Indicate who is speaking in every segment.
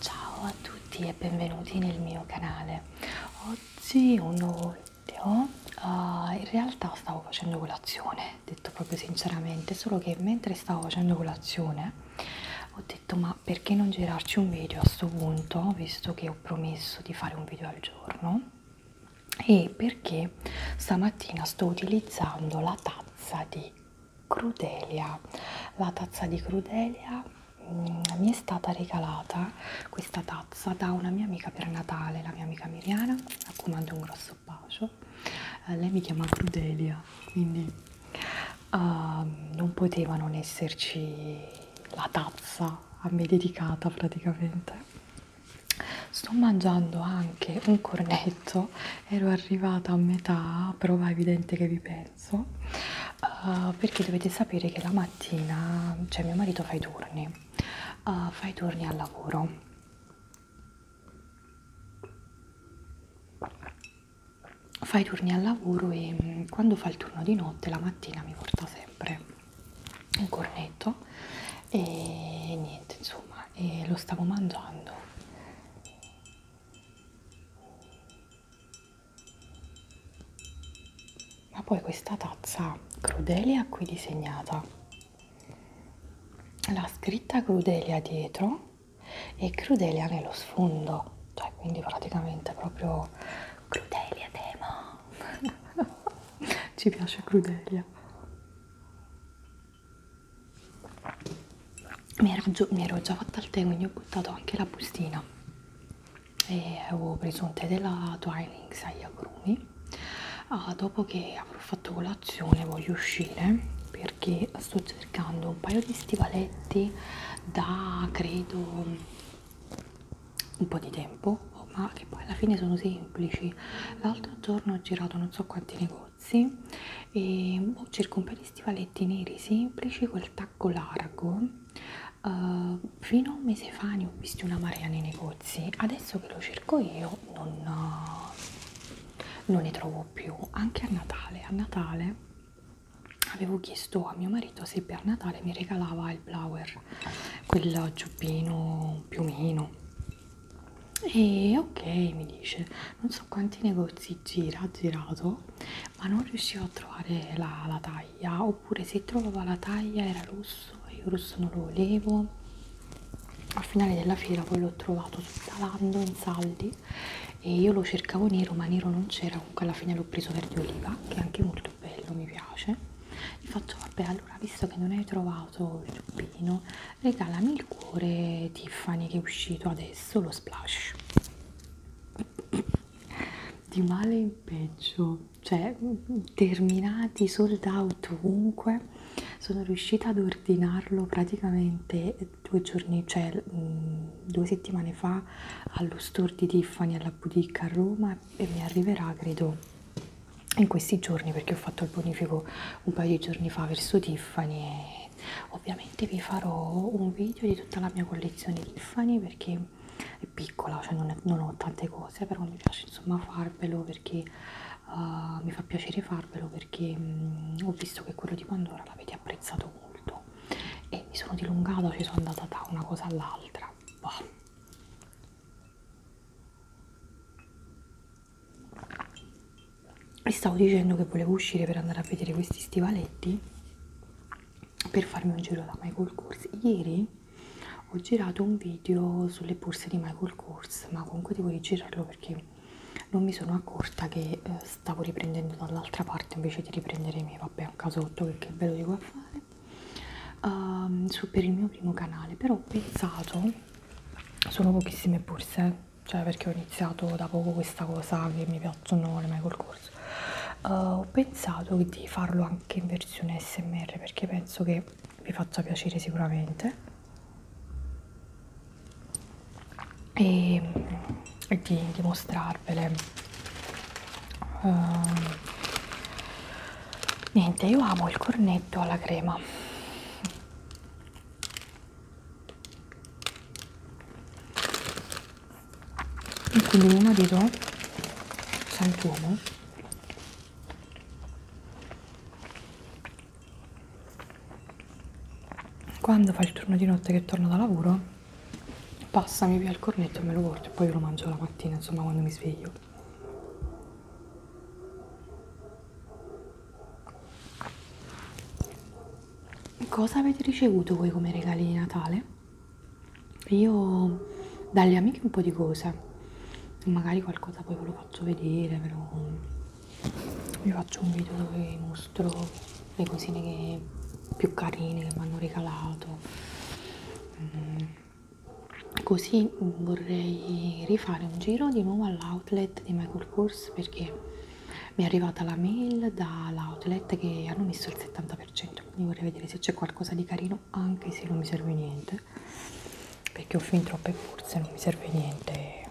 Speaker 1: Ciao a tutti e benvenuti nel mio canale. Oggi ho un nuovo video. Uh, in realtà stavo facendo colazione, detto proprio sinceramente, solo che mentre stavo facendo colazione ho detto ma perché non girarci un video a questo punto, visto che ho promesso di fare un video al giorno e perché stamattina sto utilizzando la tazza di crudelia la tazza di crudelia mh, mm, mi è stata regalata questa tazza da una mia amica per Natale la mia amica Miriana a cui mando un grosso bacio eh, lei mi chiama crudelia quindi uh, non poteva non esserci la tazza a me dedicata praticamente sto mangiando anche un cornetto tutto ero arrivata a metà prova evidente che vi penso uh, perché dovete sapere che la mattina cioè mio marito fa i turni uh, fa i turni al lavoro fa i turni al lavoro e mm, quando fa il turno di notte la mattina mi porta sempre un cornetto e niente insomma e lo stavo mangiando ma poi questa tazza Crudelia qui disegnata, la scritta Crudelia dietro e Crudelia nello sfondo, cioè quindi praticamente proprio Crudelia tema. Ci piace Crudelia mi ero, già, mi ero già fatta il tè quindi ho buttato anche la bustina e avevo preso un tè della Twinings agli agrumi ah, dopo che avrò fatto colazione voglio uscire perché sto cercando un paio di stivaletti da credo un po' di tempo ma che poi alla fine sono semplici l'altro giorno ho girato non so quanti negozi e boh, cerco un paio di stivaletti neri semplici col tacco largo Uh, fino a un mese fa ne ho visti una marea nei negozi, adesso che lo cerco io non, uh, non ne trovo più, anche a Natale. A Natale avevo chiesto a mio marito se per Natale mi regalava il blower, quel giubbino piumino e ok, mi dice, non so quanti negozi gira, ha girato, ma non riuscivo a trovare la, la taglia, oppure se trovava la taglia era rosso e io rosso non lo volevo. Al finale della fiera poi l'ho trovato salando in saldi e io lo cercavo nero, ma nero non c'era, comunque alla fine l'ho preso verde oliva, che è anche molto bello, mi piace. Gli faccio, vabbè, allora visto che non hai trovato usato il giubbino regalami il cuore Tiffany che è uscito adesso lo splash di male in peggio cioè terminati sold out ovunque sono riuscita ad ordinarlo praticamente due giorni cioè mh, due settimane fa allo store di Tiffany alla boutique a Roma e mi arriverà credo in questi giorni perché ho fatto il bonifico un paio di giorni fa verso Tiffany e ovviamente vi farò un video di tutta la mia collezione Tiffany perché è piccola, cioè non, è, non ho tante cose però mi piace insomma farvelo perché uh, mi fa piacere farvelo perché um, ho visto che quello di Pandora l'avete apprezzato molto e mi sono dilungata, ci sono andata da una cosa all'altra e stavo dicendo che volevo uscire per andare a vedere questi stivaletti per farmi un giro da Michael Kors ieri ho girato un video sulle borse di Michael Kors ma comunque devo rigirarlo perché non mi sono accorta che eh, stavo riprendendo dall'altra parte invece di riprendere i miei vabbè un casotto che, che ve lo devo fare um, su, per il mio primo canale però ho pensato sono pochissime borse cioè perché ho iniziato da poco questa cosa che mi piacciono le Michael Kors uh, ho pensato di farlo anche in versione smr perché penso che vi faccia piacere sicuramente e, e di dimostrarvele uh, ehm, niente io amo il cornetto alla crema e quindi mio marito sant'uomo quando fa il turno di notte che torno da lavoro passami via il cornetto e me lo porto e poi lo mangio la mattina insomma quando mi sveglio Cosa avete ricevuto voi come regali di Natale? Io dalle amiche un po' di cose, magari qualcosa poi ve lo faccio vedere, ve lo... vi faccio un video dove vi mostro le cosine che... più carine che mi hanno regalato. Mm così vorrei rifare un giro di nuovo all'outlet di Michael Kors perché mi è arrivata la mail dall'outlet che hanno messo il 70% quindi vorrei vedere se c'è qualcosa di carino anche se non mi serve niente perché ho fin troppe borse non mi serve niente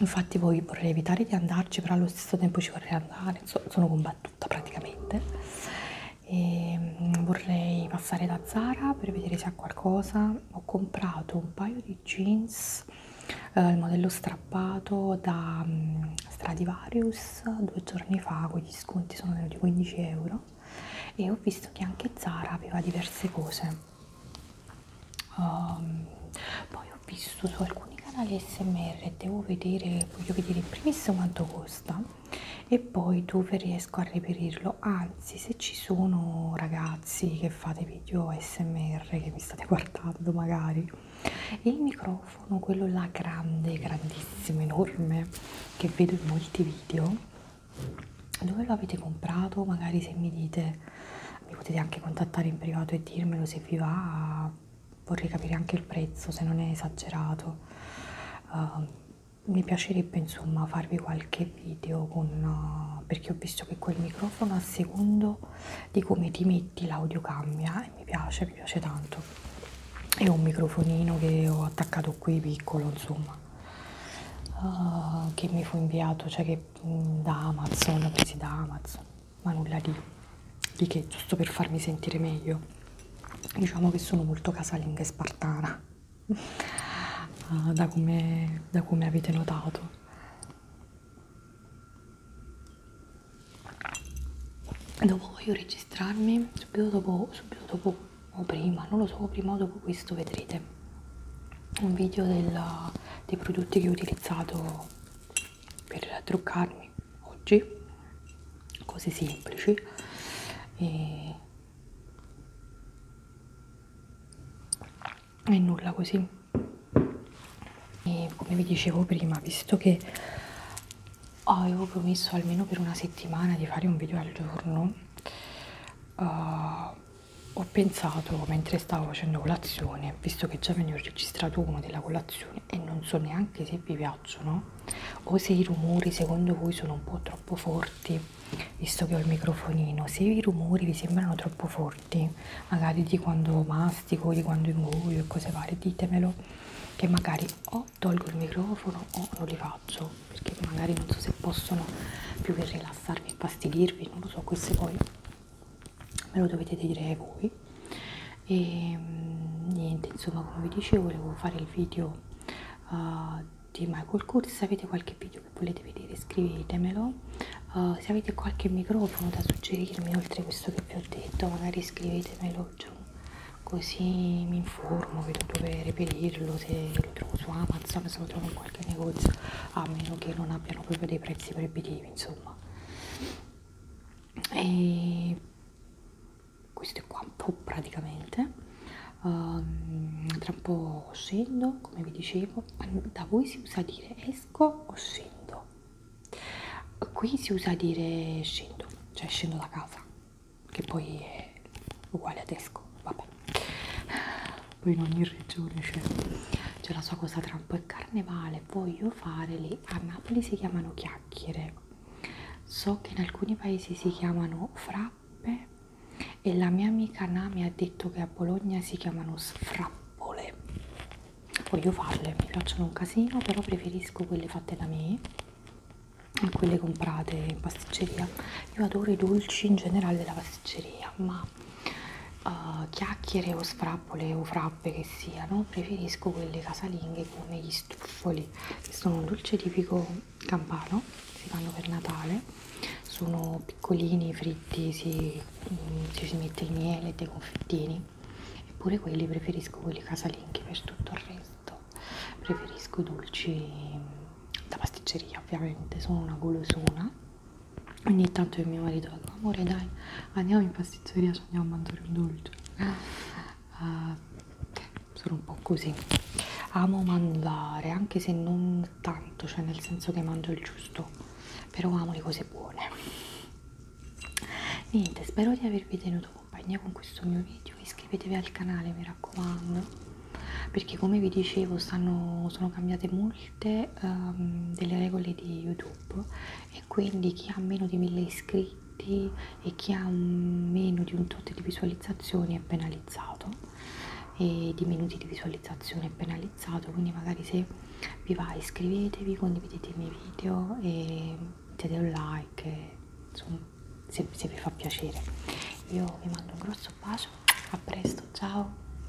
Speaker 1: infatti voi vorrei evitare di andarci però allo stesso tempo ci vorrei andare sono combattuta praticamente e mm, vorrei passare da Zara per vedere se ha qualcosa ho comprato un paio di jeans eh, il modello strappato da um, Stradivarius due giorni fa quegli sconti sono venuti 15 euro e ho visto che anche Zara aveva diverse cose um, poi ho visto su alcuni canali smr devo vedere voglio vedere in primis quanto costa e poi dove riesco a reperirlo anzi se ci sono ragazzi che fate video smr che mi state guardando magari il microfono quello là grande grandissimo enorme che vedo in molti video dove lo avete comprato magari se mi dite mi potete anche contattare in privato e dirmelo se vi va vorrei capire anche il prezzo se non è esagerato uh, mi piacerebbe insomma farvi qualche video con uh, perché ho visto che quel microfono a secondo di come ti metti l'audio cambia e mi piace mi piace tanto è un microfonino che ho attaccato qui piccolo insomma uh, che mi fu inviato cioè che mm, da amazon presi da amazon ma nulla di di che giusto per farmi sentire meglio diciamo che sono molto casalinga e spartana uh, da come da come avete notato Dopo voglio registrarmi, subito dopo, subito dopo o prima, non lo so, prima o dopo questo vedrete un video del, dei prodotti che ho utilizzato per truccarmi oggi cose semplici e, e nulla così e come vi dicevo prima visto che avevo promesso almeno per una settimana di fare un video al giorno uh, ho pensato mentre stavo facendo colazione, visto che già ne ho registrato uno della colazione e non so neanche se vi, piacciono o se i rumori secondo voi sono un po' troppo forti visto che ho il microfonino se i rumori vi sembrano troppo forti magari di quando mastico di quando ingoio e cose varie ditemelo che magari o tolgo il microfono o non li faccio perché magari non so se possono più che rilassarvi, infastidirvi non lo so queste poi me lo dovete dire voi e mm, niente insomma come vi dicevo volevo fare il video uh, di Michael Kors se avete qualche video che volete vedere scrivetemelo uh, se avete qualche microfono da suggerirmi oltre questo che vi ho detto magari scrivetemelo giù così mi informo vedo dove reperirlo se lo trovo su Amazon se lo trovo in qualche negozio a meno che non abbiano proprio dei prezzi proibitivi insomma e queste qua un po' praticamente um, tra un po' scendo come vi dicevo da voi si usa dire esco o scendo qui si usa dire scendo cioè scendo da casa che poi è uguale ad esco vabbè poi in ogni regione c'è cioè, cioè la sua cosa tra un po' è carnevale quale voglio fare lì a Napoli si chiamano chiacchiere so che in alcuni paesi si chiamano frappe e la mia amica Nami ha detto che a Bologna si chiamano sfrappole voglio farle mi piacciono un casino però preferisco quelle fatte da me a quelle comprate in pasticceria io adoro i dolci in generale della pasticceria ma uh, chiacchiere o sfrappole o frappe che siano, preferisco quelle casalinghe come gli struffoli, che sono un dolce tipico campano, si fanno per Natale, sono piccolini, fritti, si, mm, ci si mette il miele e dei confettini, eppure quelli preferisco quelli casalinghi per tutto il resto, preferisco i dolci mm, da pasticceria ovviamente, sono una golosona ogni tanto io e mio marito dico amore dai andiamo in pasticceria ci andiamo a mangiare un dolce uh, sono un po' così amo mangiare anche se non tanto cioè nel senso che mangio il giusto però amo le cose buone niente spero di avervi tenuto compagnia con questo mio video iscrivetevi al canale mi raccomando perché come vi dicevo stanno, sono cambiate molte ovviamente um, ehm, delle regole di YouTube e quindi chi ha meno di 1000 iscritti e chi ha un, meno di un tot di visualizzazioni è penalizzato e di minuti di visualizzazione è penalizzato quindi magari se vi va iscrivetevi, condividete i miei video e mettete un like e, insomma, se, se vi fa piacere io vi mando un grosso bacio a presto, ciao